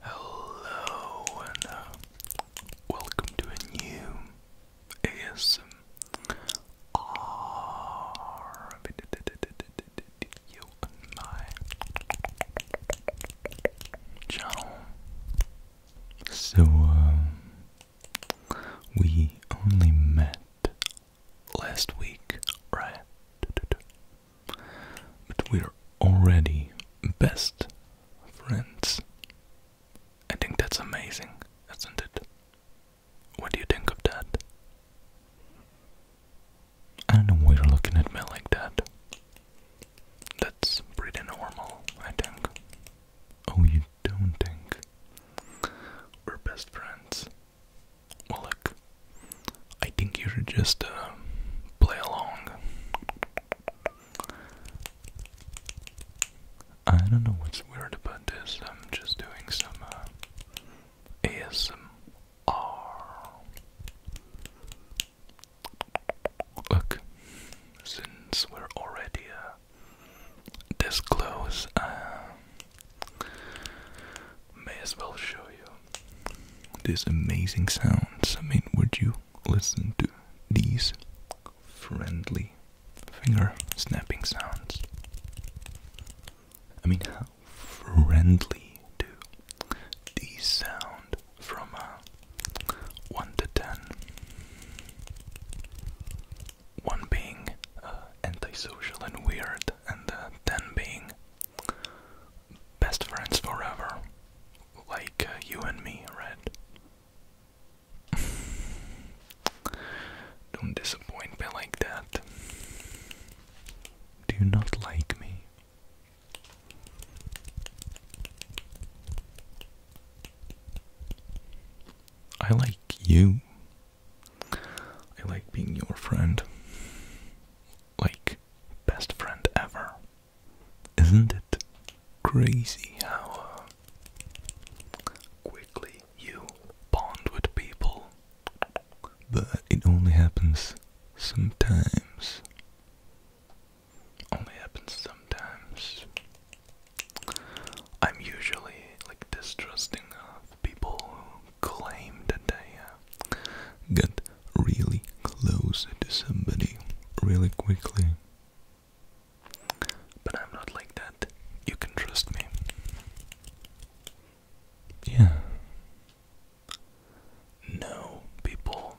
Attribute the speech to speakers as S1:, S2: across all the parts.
S1: Hello and uh, welcome to a new ASMR video on my channel. So um, we only met last week, right? But we're already best friends. I think that's amazing, isn't it? What do you think of that? I don't know why you're looking at me like that. That's pretty normal, I think. Oh, you don't think we're best friends? Well, look, I think you should just uh, play along. I don't know what's weird about this. I'm just doing some uh, ASMR. Look, since we're already uh, this close, may as well show you these amazing sounds. I mean, would you listen to these friendly finger snapping sounds? I mean, how friendly do these sound from a 1 to 10? 1 being uh, antisocial and weird, and then being best friends forever, like uh, you and me, Red. Don't disappoint me like that. Do you not like me? I like you. I like being your friend like best friend ever. Isn't it crazy how uh, quickly you bond with people? But it only happens sometimes. Only happens sometimes. I'm usually like distrusting of people claim that they uh, really close to somebody really quickly. But I'm not like that. You can trust me. Yeah. No, people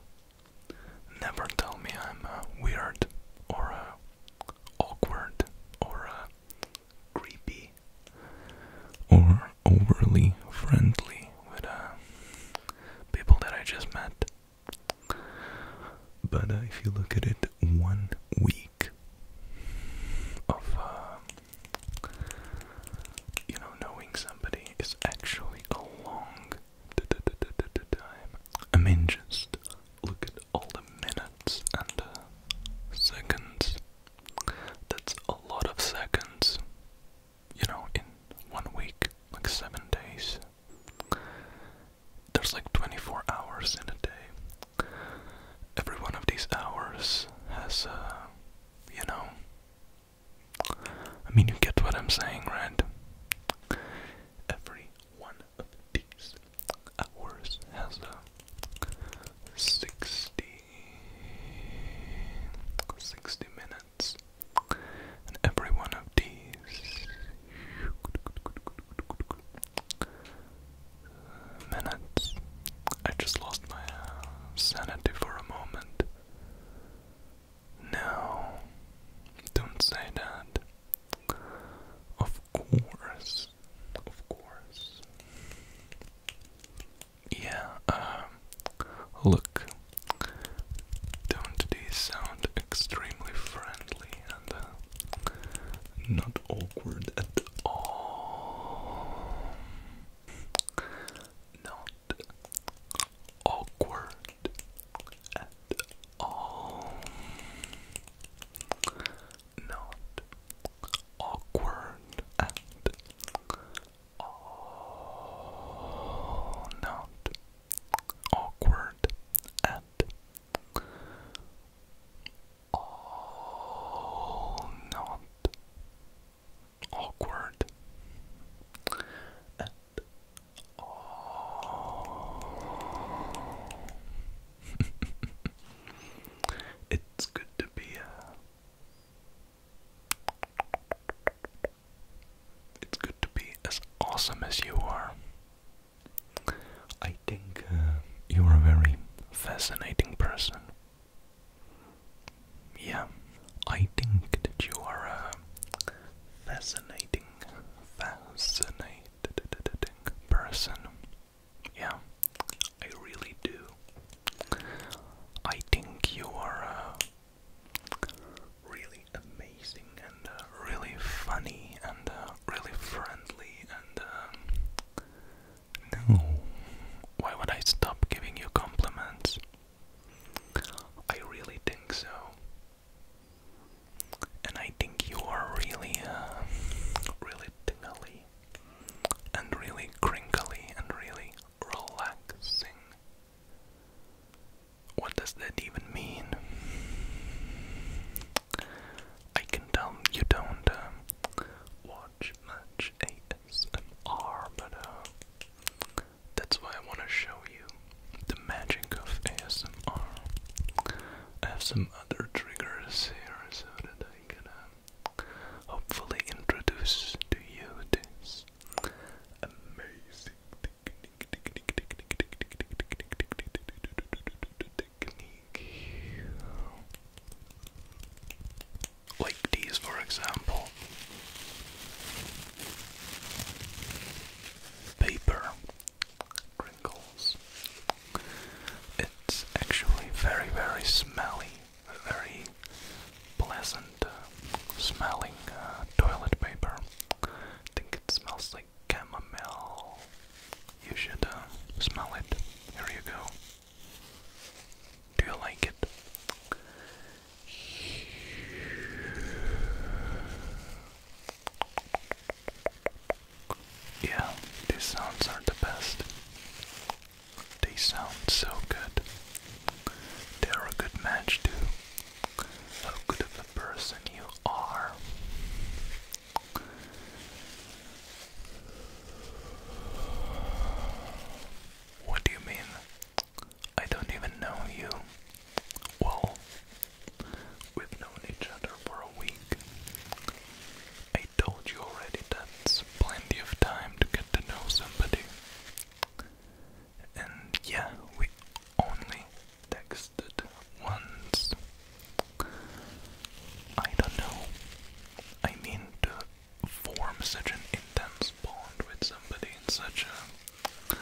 S1: never tell me I'm uh, weird or uh, awkward or uh, creepy or overly friendly with uh, people that I just met. But uh, if you look at it, one week of uh, you know knowing somebody is actually a long time. I mean, just look at all the minutes and uh, seconds that's a lot of seconds, you know, in one week, like seven days. There's like 24 hours in a day. Every one of these hours has, uh, you know, I mean, you get what I'm saying, right? Every one of these hours has a 60, minutes. every one of these minutes, I just lost my uh, sanity for a moment. No, don't say that. Of course, of course yeah, um, look, don't these sound extremely friendly and uh, not awkward at all? Not awkward at all not awkward and all oh, not awkward and all oh, not awkward and oh. all. it's good to be uh, it's good to be as awesome as you are. I think uh, you're a very fascinating person. Yeah, I think that you are a fascinating, fascinating person. Yeah, I really do. I think you are uh, really amazing and uh, really funny and uh, really friendly and. Um, no, why would I stop giving you compliments? I really think so. And I think you are really, uh, really tingly and really crinkly and really relaxing. What does that even mean? I can tell you don't uh, watch much ASMR, but uh, that's why I want to show you the magic of ASMR. I have some other triggers here so that I can uh, hopefully introduce to you this amazing technique, Like these, for example. Paper crinkle it's actually very, very smelly, very pleasant uh, smelling uh, toilet paper. I think it smells like chamomile. You should uh, smell it. Here you go. Do you like it? Yeah, these sounds are the best. They sound so good. They're a good match too. how good of a person you are. What do you mean? I don't even know you. Well, we've known each other for a week. I told you already that's plenty of time to get to know somebody. And yeah, we only texted once. I don't know. I mean, to form such an intense bond with somebody in such a,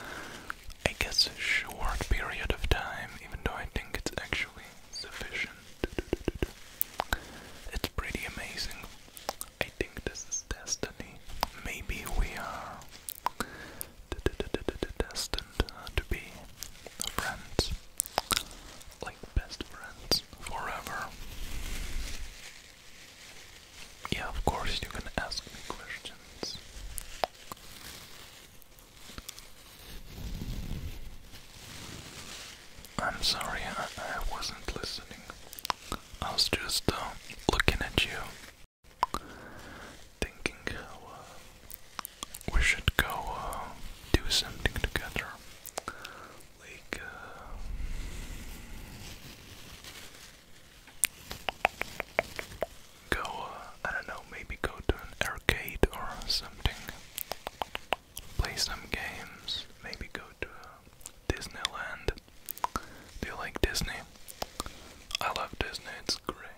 S1: I guess, short period of time, even though I think it's actually sufficient. It's pretty amazing. I think this is destiny. Maybe we are destined uh, to be friends, like best friends forever. Yeah, of course, you can ask me questions. I'm sorry, I, wasn't listening. I was just uh, looking at you, thinking uh, we should go uh, do something together. Like, go, I don't know, maybe go to an arcade or something. Play some games. Maybe go to uh, Disneyland. Do like Disney? I love Disney, it's great.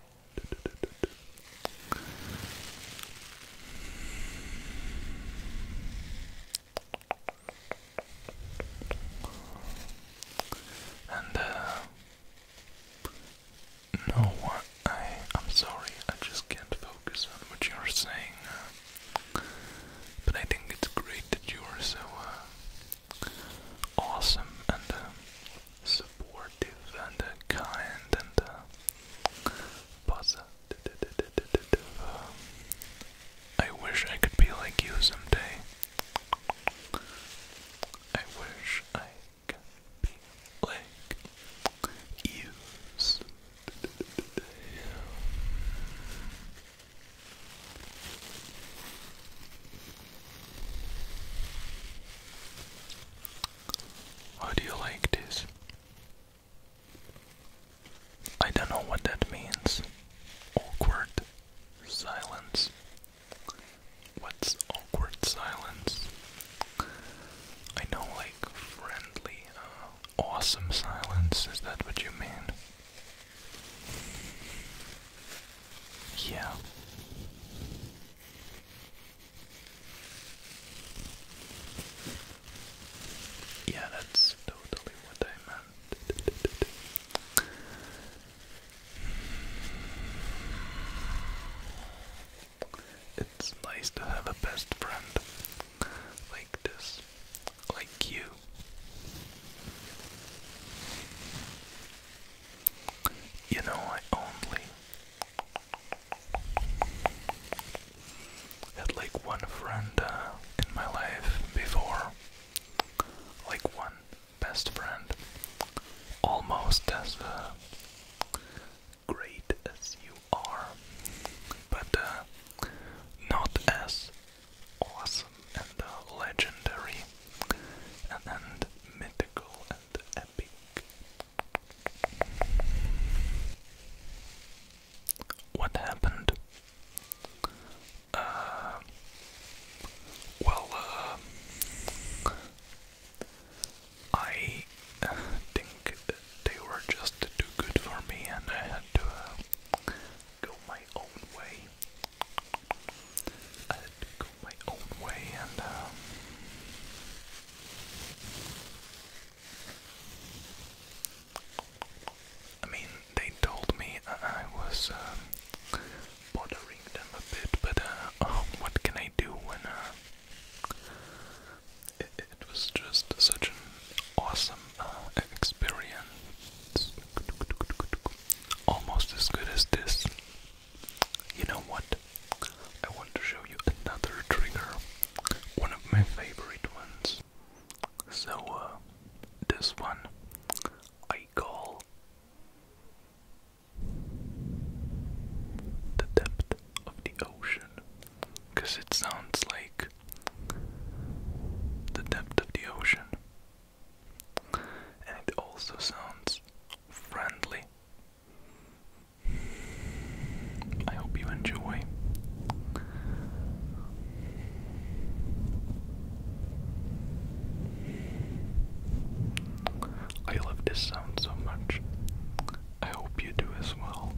S1: And uh, know I. I'm sorry, I just can't focus on what you're saying. Uh, but I think it's great that you are so uh, awesome and uh, supportive and kind and uh, um, I wish I could be like you someday. I wish I like used. How do you like this? I don't know what that means. Awkward silence. What's awkward silence? I know, like, friendly, uh, awesome silence. Is that what you mean? Yeah. Yeah, that's totally what I meant. It's nice to have a best friend like this, like you. You know, I only had like one friend uh, in my life before, like one best friend, almost as uh, great as you are, but uh, not as awesome and uh, legendary and, mythical and epic. What happened? Uh, well, I think they were just too good for me, and I had to uh, go my own way. I had to go my own way, and. Um, I mean, they told me I was um, bothering them a bit, but uh, oh, what can I do when uh, it, was just such an awesome uh, experience, almost as good as this. You know what? I want to show you another trigger, one of my favorite ones. So, this one I call the depth of the ocean because it sounds like the depth of the ocean and it also sounds friendly. I hope you enjoy. I love this sound so much. I hope you do as well.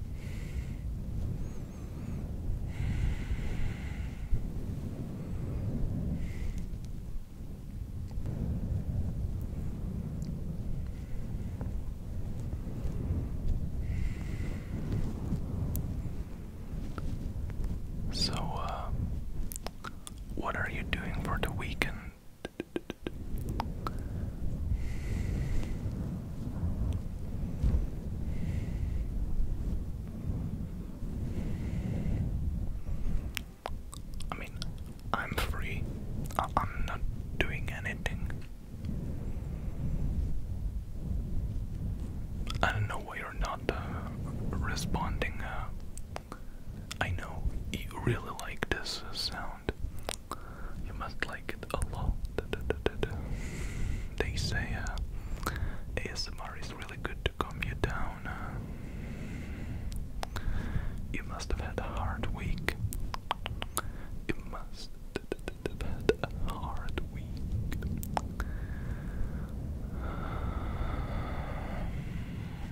S1: So, uh, what are you doing for the weekend? I mean, I'm free. I am not doing anything. I don't know why you're not uh, responding uh, I know you really like this sound. You must like it a lot. They say uh, ASMR is really good to calm you down. Uh. you must have had a hard week. You must have had a hard week.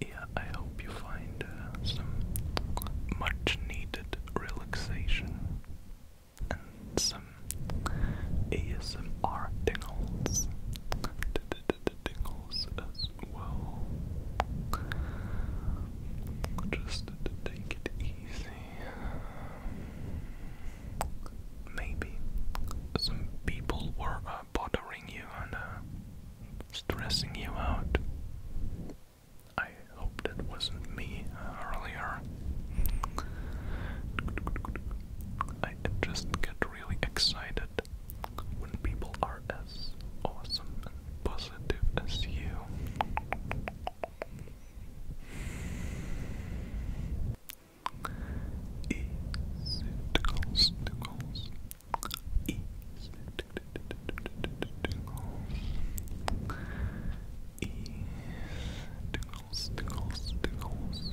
S1: Yeah, I hope you find uh, some much needed relaxation and some ASMR tingles tingles as well. Just take it easy. Maybe some people were uh, bothering you and uh, stressing you out. I hope that wasn't me uh, earlier. I just get really excited it when people are as awesome and positive as you. Easy tickles, tickles. Easy tickles. Easy tickles, tickles, tickles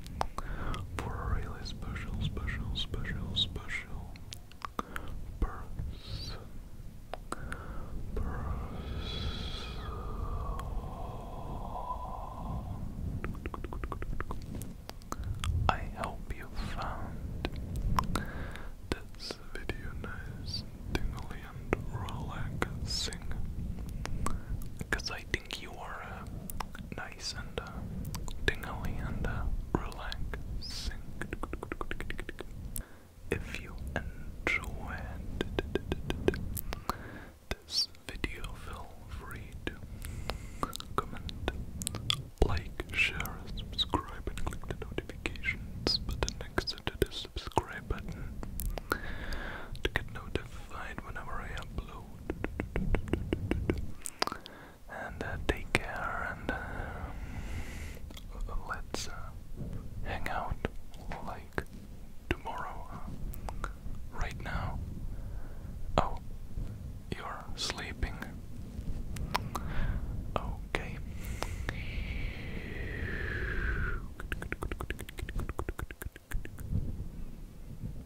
S1: for a really special, special, special, special person. I hope you found this video nice and and relaxing because I think you are a nice nice and uh, and uh, If you enjoyed this video, feel free to comment, like, share, subscribe, and click the notifications button next to the subscribe button to get notified whenever I upload and uh, take care and uh, let's uh, hang out like tomorrow. Uh, right now. Oh, you're sleeping. Okay.